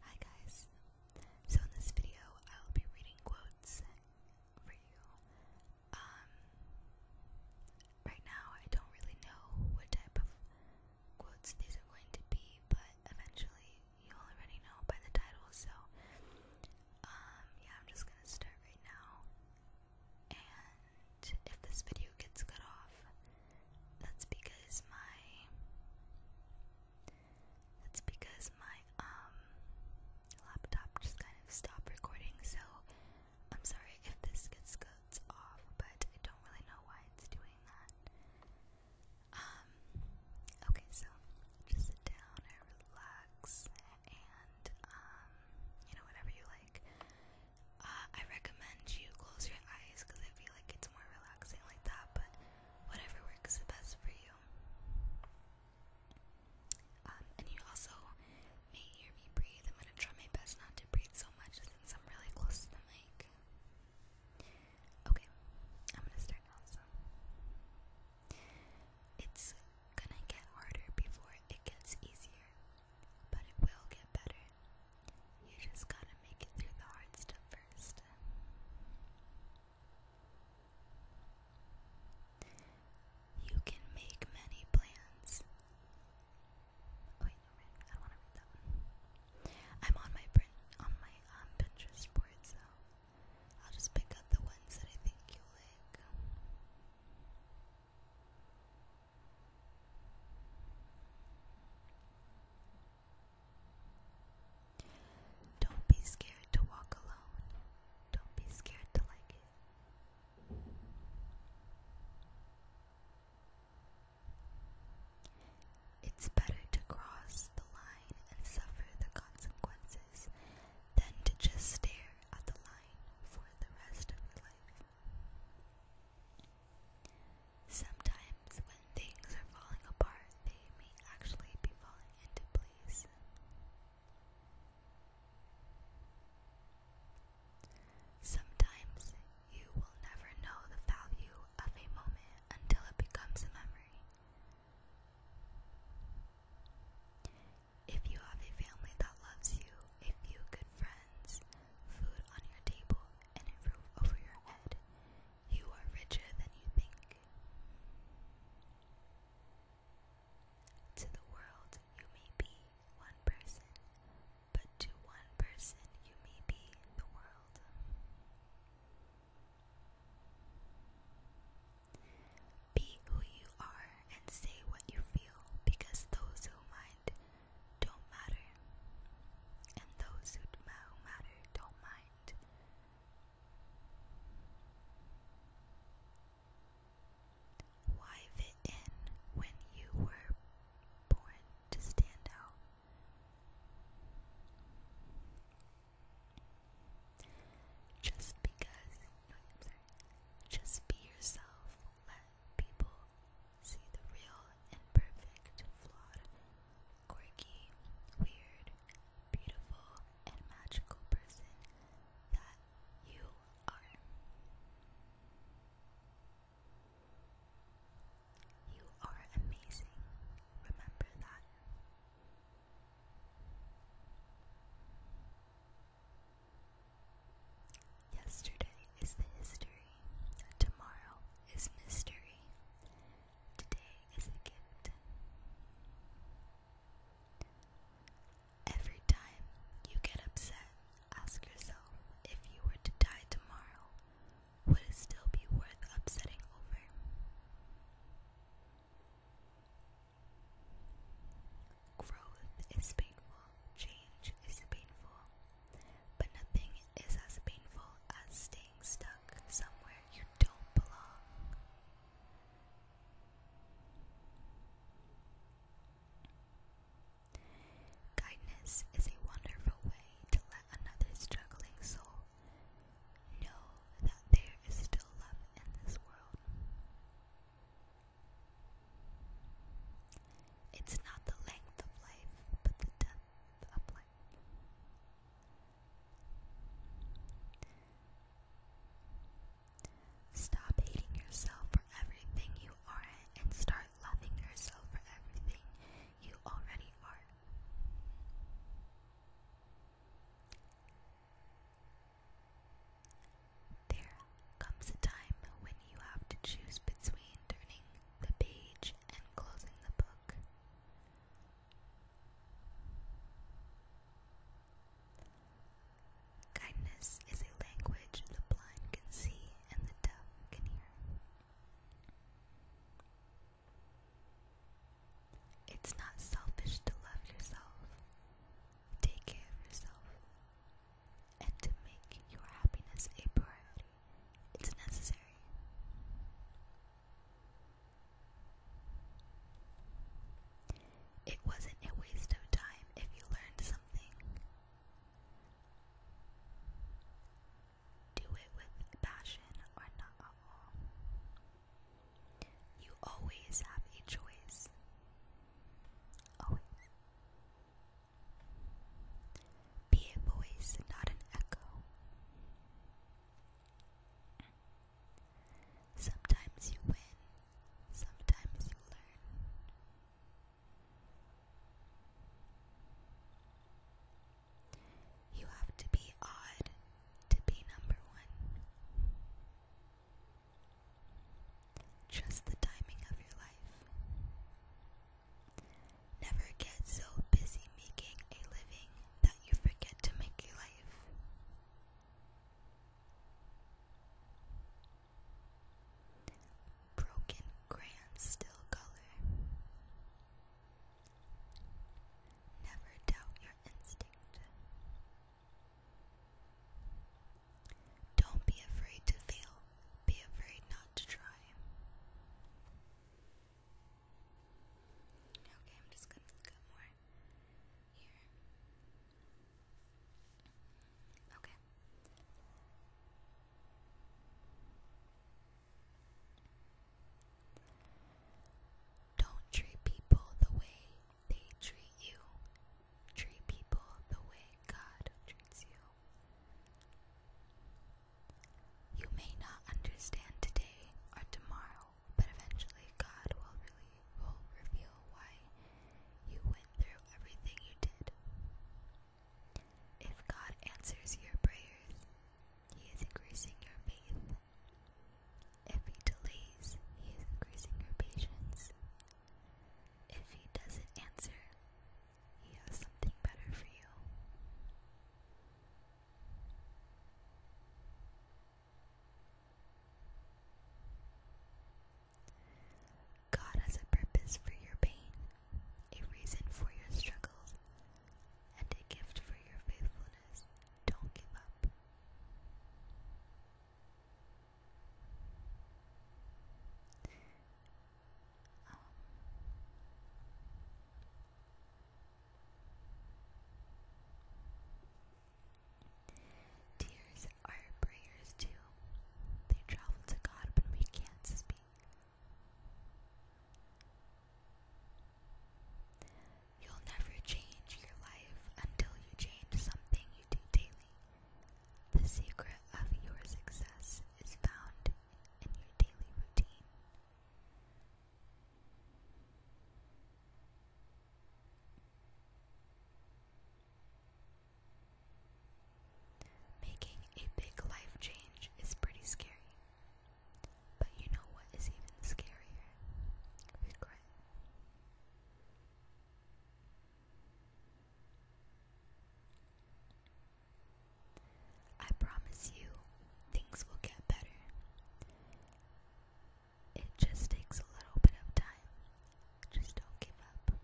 Hi guys. So in this video, I will be reading quotes for you. Um right now I don't really know what type of quotes these are going to be, but eventually you already know by the title, so um yeah, I'm just going to start right now. And if this video gets cut off, that's because my that's because my um laptop just kind of stopped recording, so I'm sorry if this gets cuts off, but I don't really know why it's doing that. Um okay, so just sit down and relax and um you know whatever you like. Uh, I recommend you close your eyes because I feel like it's more relaxing like that, but whatever works the best for you. Um, and you also may hear me breathe. I'm gonna try my best not to breathe so much since I'm really close to the mic. Okay, I'm gonna start now. it's gonna get harder before it gets easier. But it will get better. You just gotta make it through the hard stuff first. You can make many plans. Oh, wait, no, I don't want to read that I'm on my print on my um, Pinterest board, so I'll just pick up the ones that I think you will like. Don't be scared to walk alone. Don't be scared to like it. It's better to cross the line and suffer the consequences than to just stare at the line for the rest of your life. Sometimes, when things are falling apart, they may actually be falling into place. Sometimes, you will never know the value of a moment until it becomes a memory. If you have a family that loves you, a few good friends, food on your table, and it roof over your head. You are richer than you think. To the world, you may be one person, but to one person, you may be the world. Be who you are and say what you feel, because those who mind don't matter, and those who matter don't mind. Why fit in when you were born to stand out? Just because, Just be yourself. Let people See the real, and perfect, flawed, quirky, weird, beautiful, and magical person that you are. You are amazing. Remember that. Yesterday is the history, tomorrow is mystery, today is a gift. Every time you get upset, ask yourself if you were to die tomorrow, would it still be worth upsetting over? Growth is painful, change is painful but nothing is as painful as staying stuck somewhere you don't belong. Kindness is a wonderful way to let another struggling soul know that there is still love in this world. It's not the length of life, but the depth of life. Stop hating yourself for everything you aren't and start loving yourself for everything you already are. There comes a time when you have to choose between turning the page and closing the book. Kindness is a language the blind can see and the deaf can hear. It's not selfish to love yourself. Take care of yourself and to make your happiness a priority, it's necessary. It wasn't a waste of time if you learned something. Do it with passion or not at all. You always have a choice. Always. Be a voice, not an echo. Sometimes you win, sometimes you learn. You have to be odd to be number one. Just the timing of your life. Never get so busy making a living that you forget to make a life. Broken grand still color. Never doubt your instinct. Don't be afraid to fail, be afraid not to try. Okay, I'm just gonna look up more here. Okay. Don't treat people the way they treat you. Treat people the way God treats you. You may not understand today or tomorrow, but eventually God will reveal why you went through everything you did. If God answers your prayers, He is increasing your faith. If He delays, He is increasing your patience. If He doesn't answer, he has something better for you. God has a purpose for your pain, a reason for your struggles, and a gift for your faithfulness. Don't give up. Um, tears are prayers too. They travel to God when we can't speak. You'll never change your life until you change something you do daily. The secret of your success is found in your daily routine. Making a big life change is pretty scary. But you know what is even scarier? I promise you, things will get better. It just takes a little bit of time. Just don't give up.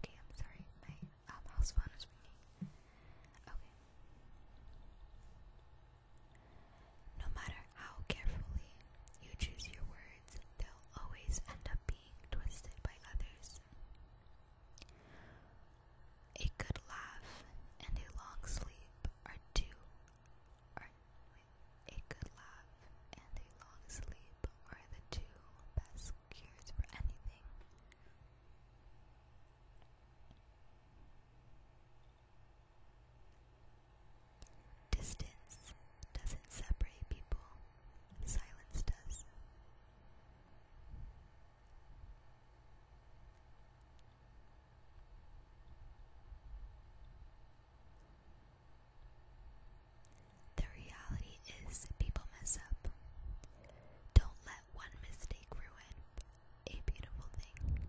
Okay, I'm sorry, my um, house phone is ringing. Okay. No matter how carefully you choose your words, they'll always end up being twisted by others. A good laugh and a long sleep are two. a good laugh and a long sleep are the two best cures for anything. Distance doesn't separate people, silence does. The reality is people mess up. Don't let one mistake ruin a beautiful thing.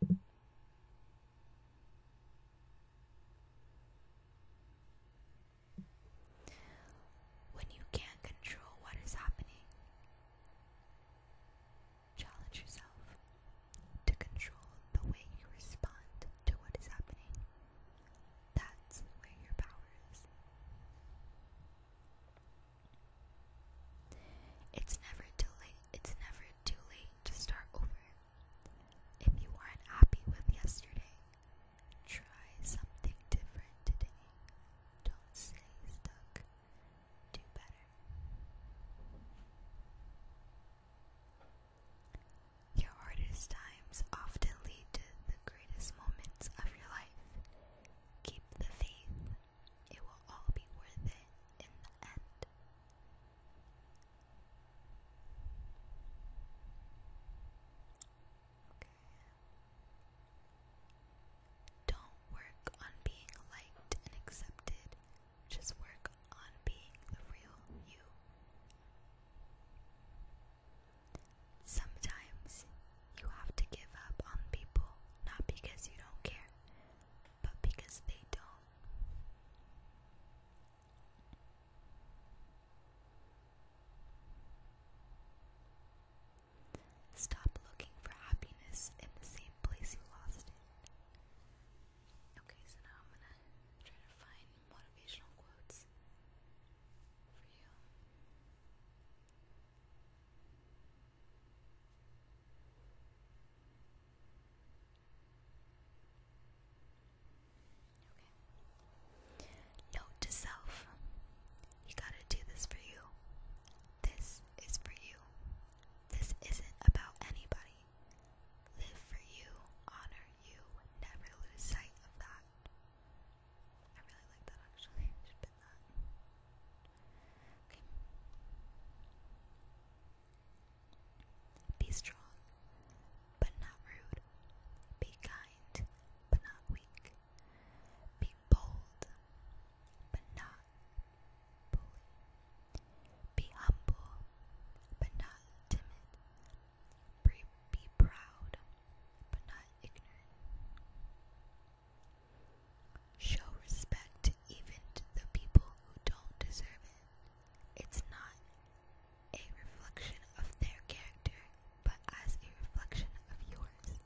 When you can't control what is happening, challenge yourself to control the way you respond to what is happening. That's where your power is. It's never too late. It's never too late to start over. If you aren't happy with yesterday, try something different today. Don't stay stuck. Do better. Your hardest times often lead to the greatest moments of your life. Keep the faith, it will all be worth it in the end. Don't work on being liked and accepted, just work on being the real you. Sometimes you have to give up on people not because you don't care, but because they don't. Stop looking for happiness in the same place you lost it. Okay, so now I'm gonna try to find motivational quotes for you. Okay. Note to self. You gotta do this for you. This is for you. This isn't about anybody. Live for you, honor you, never lose sight of that. Be strong, but not rude. Be kind, but not weak. Be bold, but not bully. Be humble, but not timid. Be, be proud, but not ignorant. Show respect even to the people who don't deserve it. It's not a reflection of their character, but as a reflection of yours.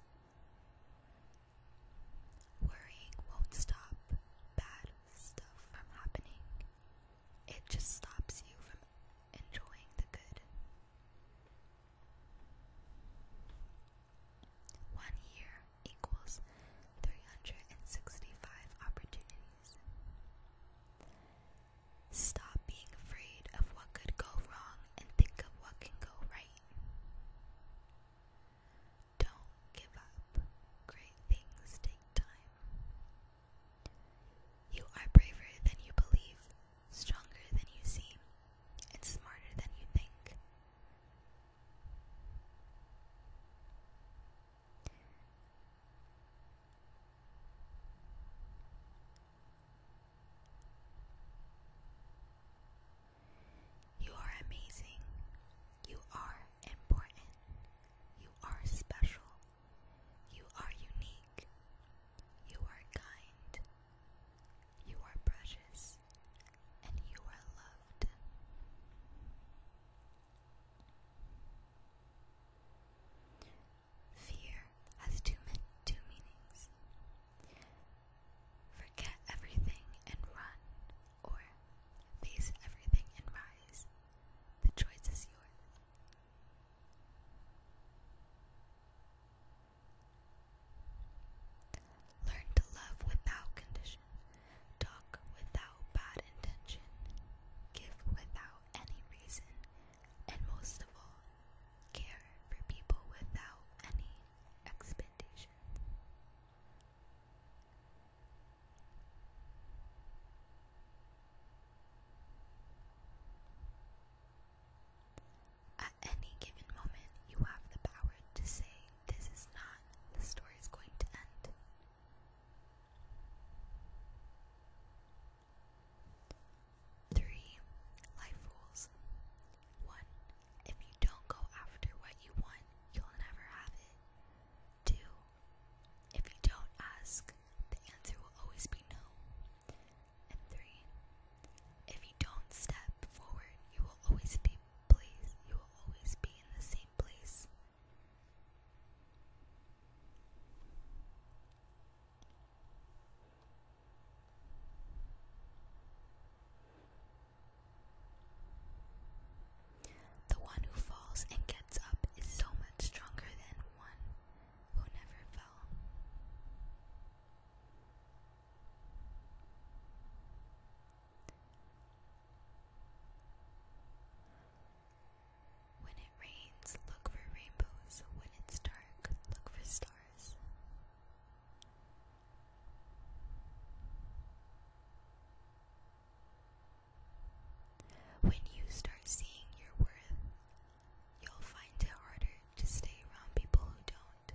Worrying won't stop bad stuff from happening. It just stops you from enjoying the good. One year equals 365 opportunities. Stop being afraid of what could go wrong and think of what can go right. Don't give up. Great things take time. You are braver than you believe, stronger than you seem, and smarter than you think. You are amazing. You are important. You are special. You are unique. You are kind. You are precious and you are loved. Fear has two, two meanings. Forget everything and run, or face everything and rise. The choice is yours. Learn to love without condition, talk without bad intention, give without any reason, and most of all, care for people without any expectation any given moment, you have the power to say, This is not, the story is going to end. Three life rules. One, if you don't go after what you want, you'll never have it. Two, if you don't ask, the answer will always be no. And three, if you don't step forward, you will always be placed, you will always be in the same place. The one who falls and gets up is so much stronger than one who never fell. When it rains, look for rainbows. When it's dark, look for stars. When you start seeing your worth, You'll find it harder to stay around people who don't.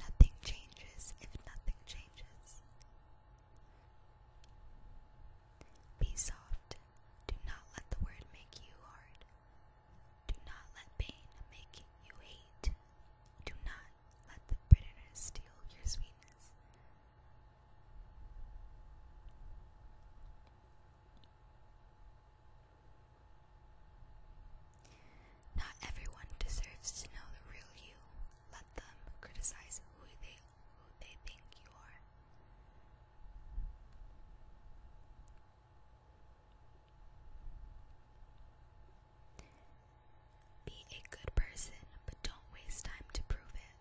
Nothing changes if nothing changes. Be soft. Do not let the word make you hard. Do not let pain make you hate do not let the bitterness steal your sweetness. Not everyone deserves to know the real you. Let them criticize who they who they think you are. Be a good person, but don't waste time to prove it.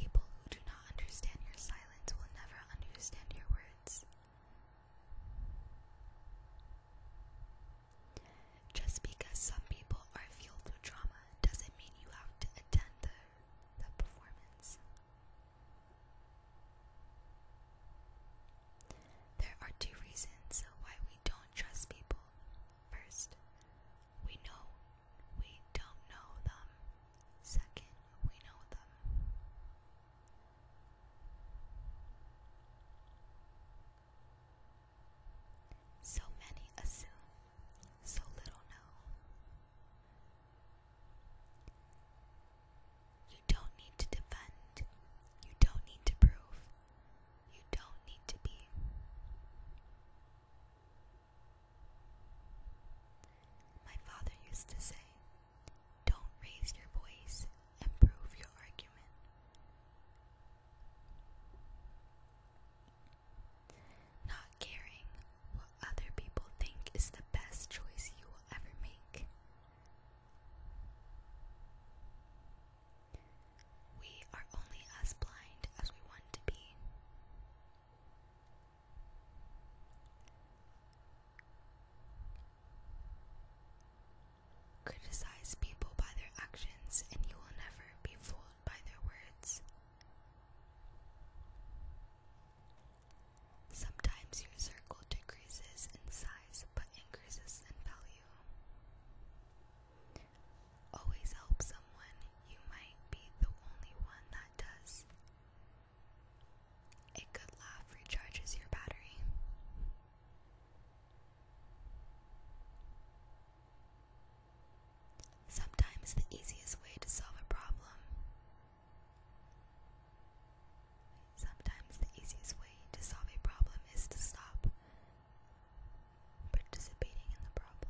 People who do not understand your silence will never understand your words. Just because some people are fueled with trauma doesn't mean you have to attend the, the performance. There are two reasons why we don't trust people. First, we know we don't know them. Second, we know them. So many assume, so little know. You don't need to defend, you don't need to prove, you don't need to be. My father used to say, Don't raise your voice and prove your argument. Not caring what other people think is the best choice you will ever make. We are only as blind as we want to be. Criticize people by their actions, and you will never be fooled by their words. Sometimes your circle decreases in size but increases in value. Always help someone, you might be the only one that does. A good laugh recharges your battery. Sometimes the easiest way to solve a problem. Sometimes the easiest way to solve a problem is to stop participating in the problem.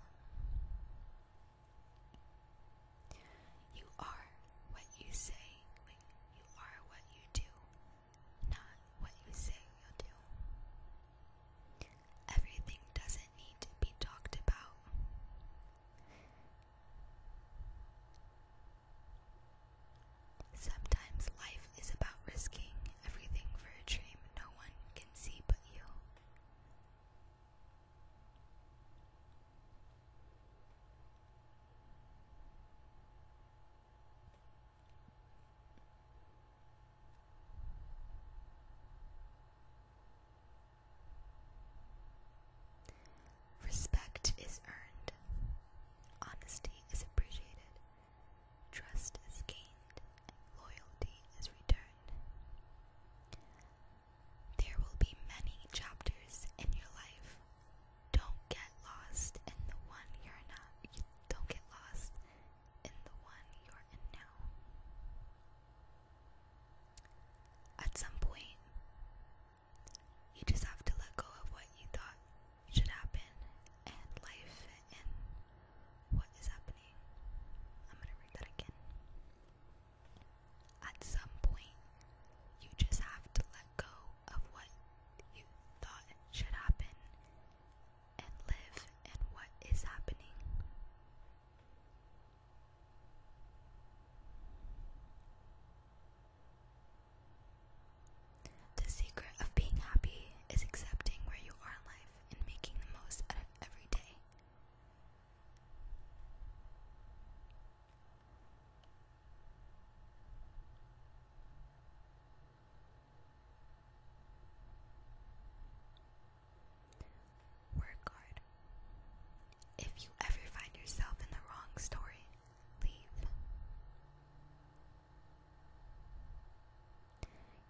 You are what you say. you are what you do, not what you say you do everything doesn't need to be talked about. Sometimes life is about risking everything for a dream no one can see but you. Respect is earned. Honesty is appreciated. Trust is gained. Loyalty is returned. There will be many chapters in your life. Don't get lost in the one you're not. You don't get lost in the one you're in now. At some point, you just have to let go of what you thought should happen and life and what is happening. I'm going to read that again. At some point, you just have to let go of what you thought should happen and live And what is happening. The secret of being happy is accepting where you are in life and making the most out of every day. Work hard. If you ever find yourself in the wrong story, leave.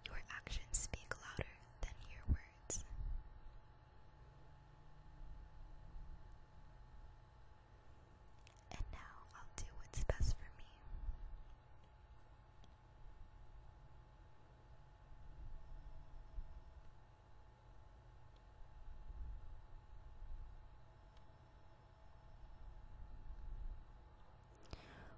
Your actions speak louder than your words. And now I'll do what's best for me.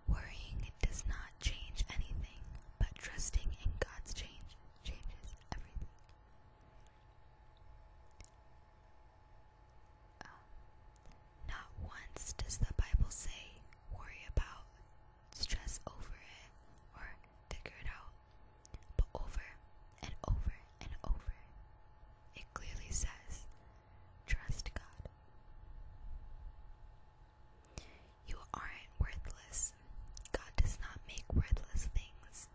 Worrying does not change anything, but trusting in God's change changes everything. Um, not once does the Bible say, worry about, stress over it, or figure it out. But over and over and over, it clearly says, trust God. You aren't worthless. God does not make worthless things.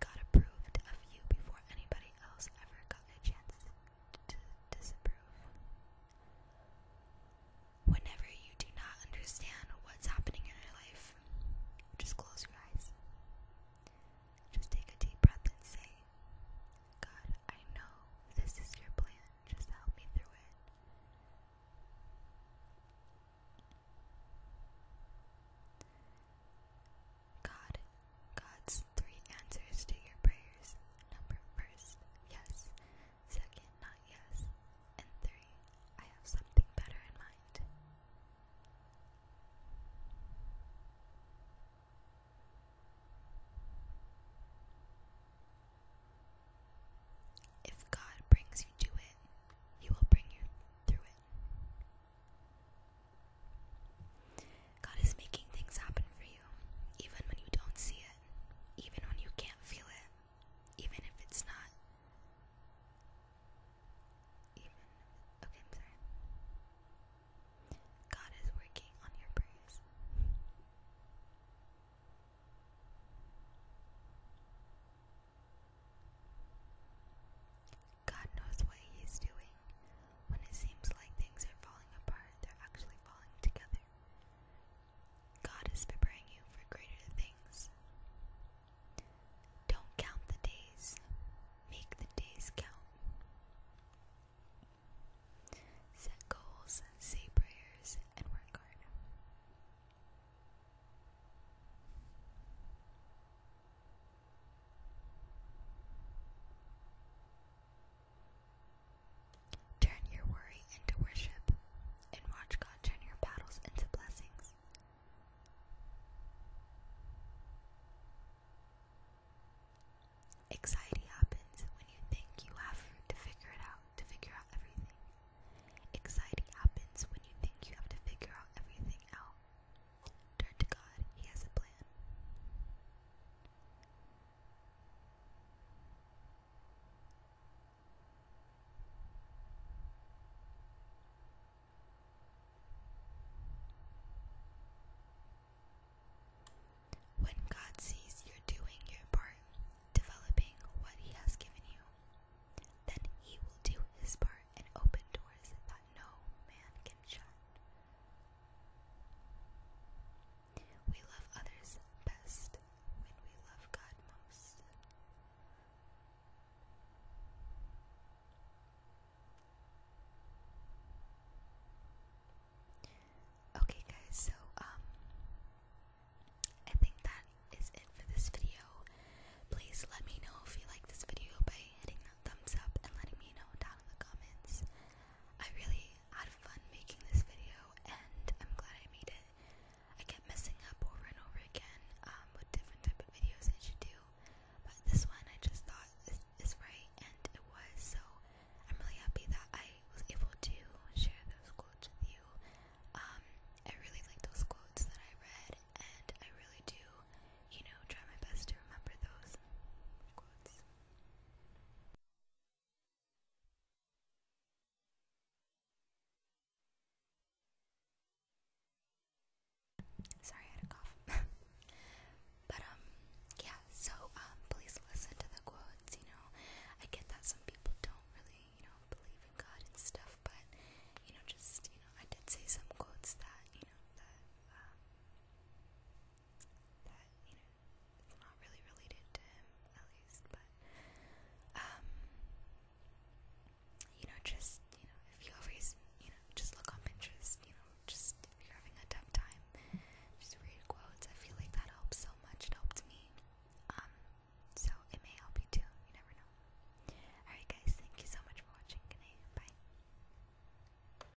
God approved of you before anybody else ever got a chance Whenever you do not understand what's happening in your life, just close your eyes. Just take a deep breath and say, God, I know this is your plan. Just help me through it. God, God's three answers to your prayers. Number first, yes. Second, not yes. And three, I have something better in mind. If God brings you to it, He will bring you through it. God is making things happen for you, even when you don't see it, even when you can't feel it, even if it's not. Even. Okay, I'm sorry. God is working on your prayers. God knows what He doing. When it seems like things are falling apart, they're actually falling together. God is preparing you for greater things. Don't count the days, make the days count. Set goals, say prayers, and work hard. Turn your worry into worship, and watch God turn your battles into blessings. Anxiety happens when you think you have to figure it out, to figure out everything. Anxiety happens when you think you have to figure out everything out. Turn to God, He has a plan. When God sees you're doing your part, developing what He has given you, then He will do His part and open doors that no man can shut. We love others best when we love God most. Okay guys, so um I think that is it for this video. Please let me know if you like this video by hitting that thumbs up and letting me know down in the comments. I really had fun making this video, and I'm glad I made it. I kept messing up over and over again um, with different type of videos I should do, but this one I just thought is, right, and it was. So I'm really happy that I was able to share those quotes with you. Um, I really like those quotes that I read, and I really do, you know, try my best to remember those quotes. Sorry, I had a cough. but um, yeah. So um, please listen to the quotes. You know, I get that some people don't really, you know, believe in God and stuff. But you know, just you know, I did say some quotes that you know that uh, that, you know, it's not really related to him, at least, but, um, you know, just, you know, if you always, you know, just look on Pinterest, you know, just if you're having a tough time, just read quotes, I feel like that helps so much, it helped me, um, so it may help you too, you never know. Alright guys, thank you so much for watching, good night, bye.